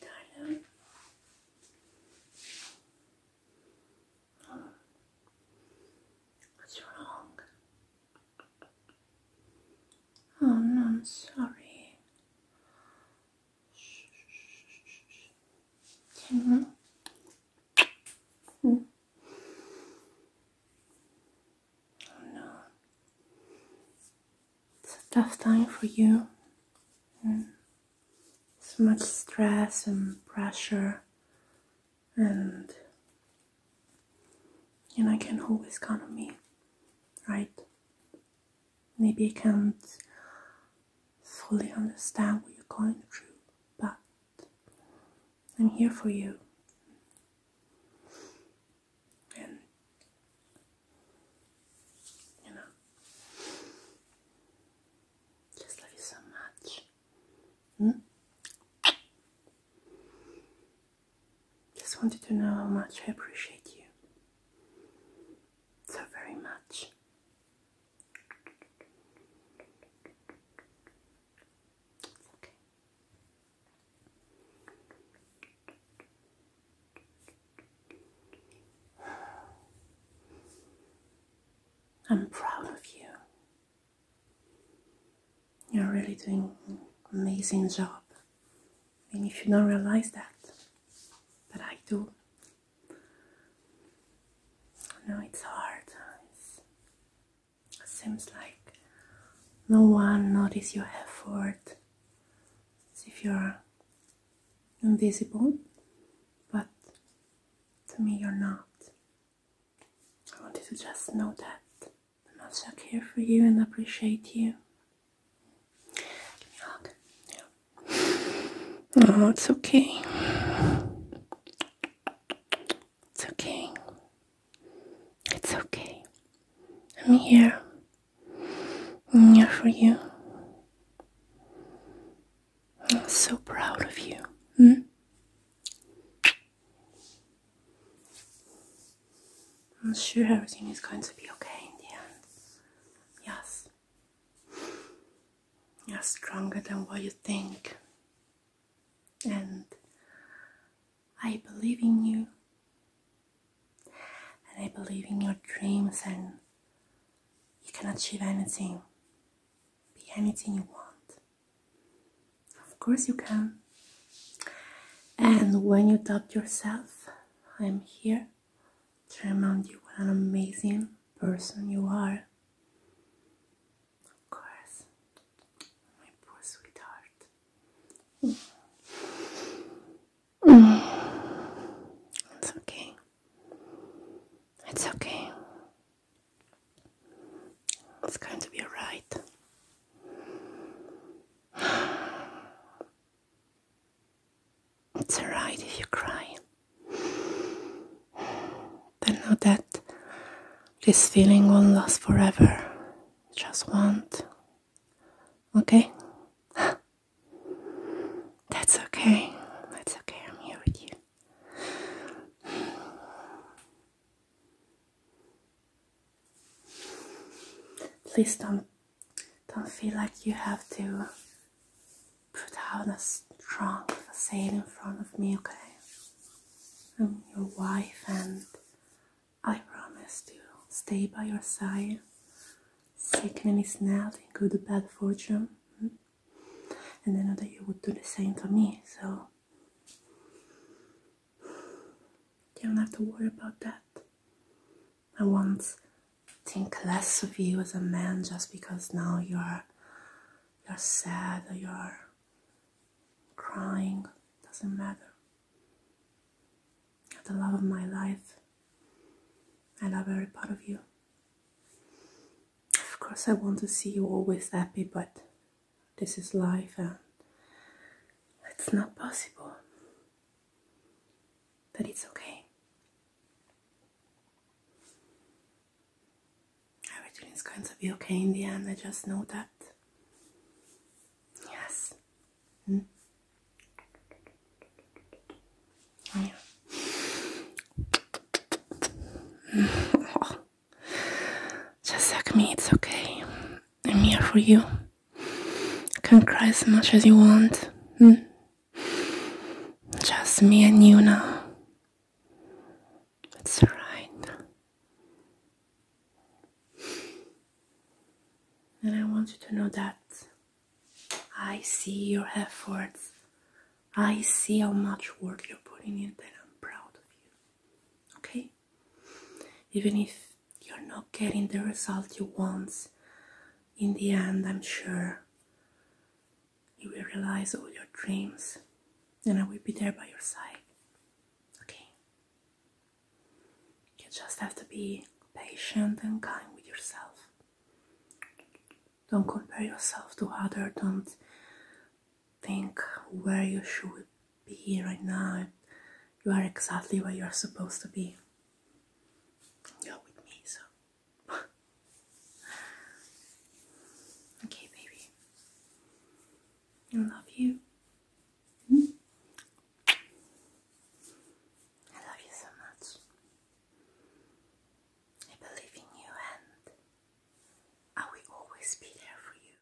Darling. Oh. What's wrong? Oh no, I'm sorry. Mm -hmm. Oh no. It's a tough time for you. Mm. So much stress and pressure, and you know I can always count on me, right? Maybe I can't fully understand what you're going through, but I'm here for you. And, you know, just love you so much. Hmm? Just wanted to know how much I appreciate you. So very much. It's okay. I'm proud of you. You're really doing an amazing job. And if you don't realize that, but I do. I it's hard. Seems like no one notices your effort, as if you're invisible, but to me you're not. I want you to just know that i the master care for you and appreciate you. Give me a hug. Yeah. Oh, it's okay. It's okay. It's okay. I'm here. I'm here for you. I'm so proud of you. Hmm? I'm sure everything is going to be okay in the end. Yes you are stronger than what you think. And I believe in you. And I believe in your dreams, and you can achieve anything. Be anything you want. Of course, you can. And when you doubt yourself, I'm here to remind you what an amazing person you are. Of course, my poor sweetheart. It's okay. It's okay. It's going to be alright. It's alright if you cry. Then know that this feeling won't last forever. Just won't. Okay? That's okay. That's okay. I'm here with you. Please don't don't feel like you have to put out a strong facade in front of me, okay? I'm your wife, and I promise to stay by your side, sickening is not in good or bad fortune. Hmm? And I know that you would do the same for me, so you don't have to worry about that. I won't think less of you as a man just because now you're you're sad or you're crying. Doesn't matter. the love of my life. I love every part of you. Of course I want to see you always happy but this is life and it's not possible. But it's okay. Everything is going to be okay in the end, I just know that. Yes. Hmm? Just like me, it's okay. I'm here for you. can cry as much as you want. Hmm. Just me and you now. That's right. And I want you to know that I see your efforts. I see how much work you're putting in, and I'm proud of you. Okay? even if you're not getting the result you want in the end i'm sure you will realize all your dreams and i will be there by your side okay you just have to be patient and kind with yourself don't compare yourself to others don't think where you should be here right now. You are exactly where you are supposed to be. You're with me, so. okay, baby. I love you. Hmm? I love you so much. I believe in you, and I will always be there for you.